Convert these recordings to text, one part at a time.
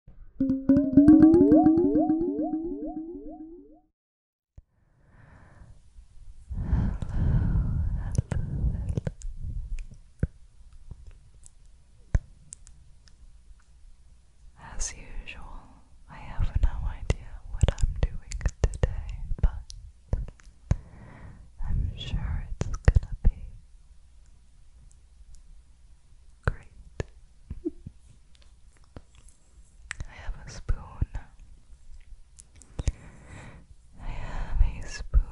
As usual, I have no idea what I'm doing today, but I'm sure it's gonna be Great. I have a spoon. I have a spoon. Spoon, spoon.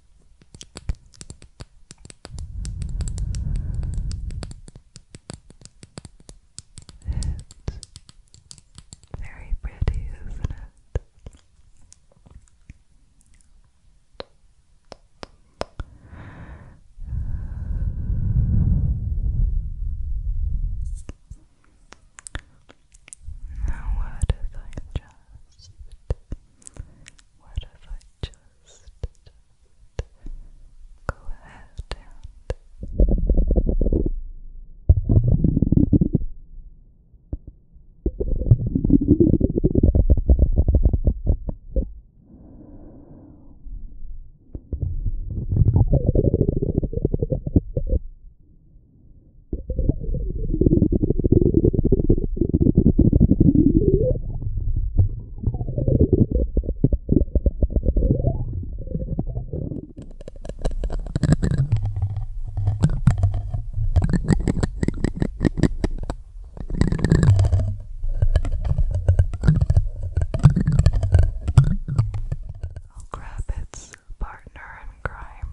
It's very pretty, isn't it? Now, what if I just what if I just, just go ahead and Relax. I'll grab its partner in crime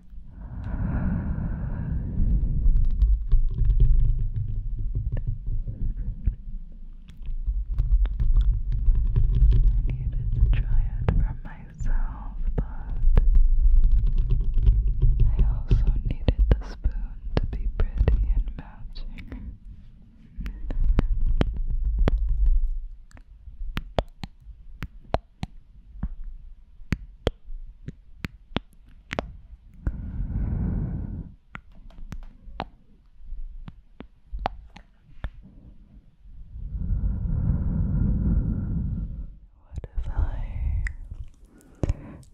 I needed to try it for myself, but I also needed the spoon to be pretty and matching. What if I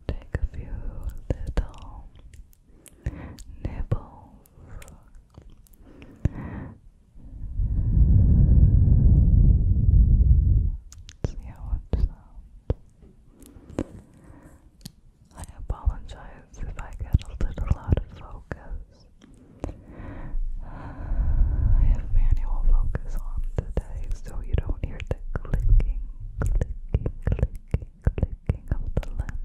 take a few little nibbles? see how it sounds. I apologize if I get a little out of focus. I have manual focus on today, so you don't hear the clicking, clicking, clicking, clicking of the lens.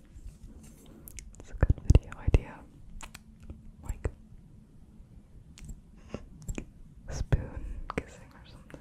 It's a good video idea. Like spoon kissing or something.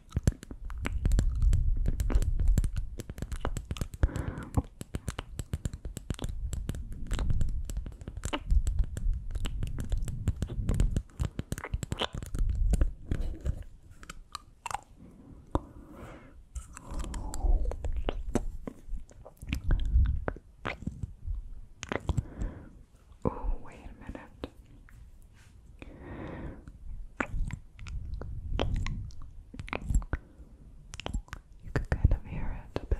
Oh, wait a minute. You could kind of hear it a bit.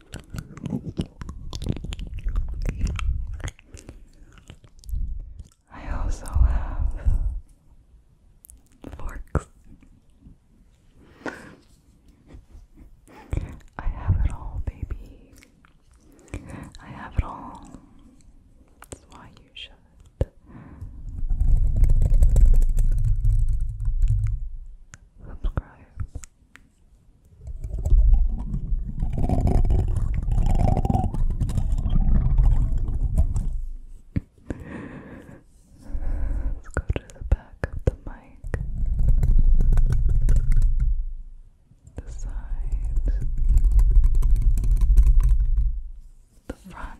I also have forks. I have it all, baby. I have it all. That's why you should. Subscribe Let's go to the back of the mic, the side, the front.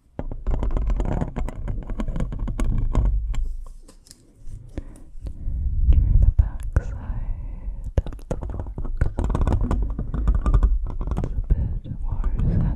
Try the back side of the fork. It's a bit more sensitive. More sensitive.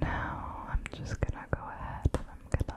Now I'm just gonna go ahead I'm gonna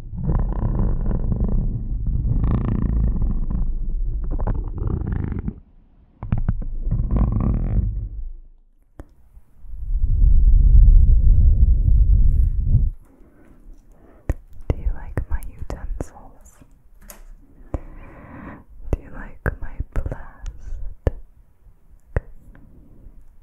Do you like my utensils? Do you like my plastic?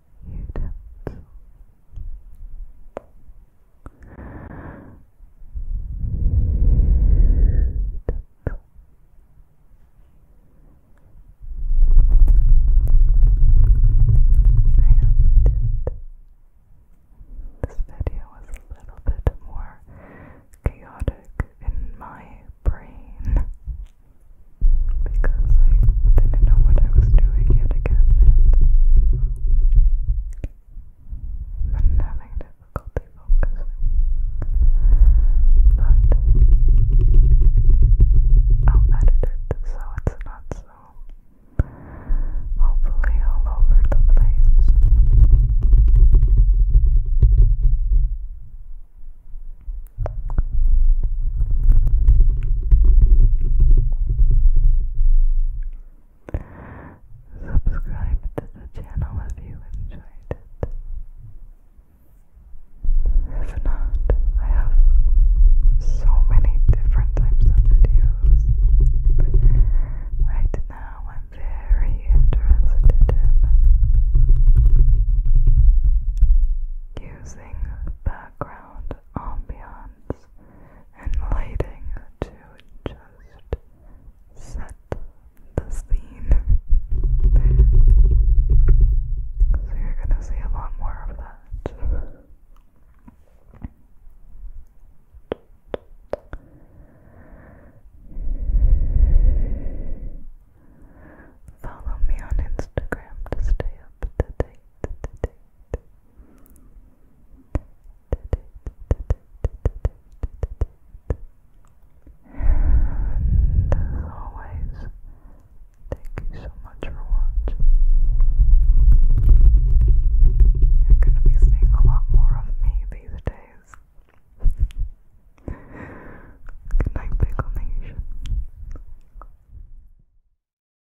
utensil I hope you This video was a little bit more chaotic in my brain because I didn't know what I was doing yet again, been having difficulty focusing, but I'll edit it so it's not so hopefully all over the place. Subscribe to the channel if you enjoyed it. If not, I have so many different types of videos. Right now, I'm very interested in using background ambiance and lighting to just set the scene. so you're gonna see a lot more of that. Follow me on Instagram to stay up to date, to date, as always, thank you so much for watching. You're gonna be seeing a lot more of me these days. Good night, Nation.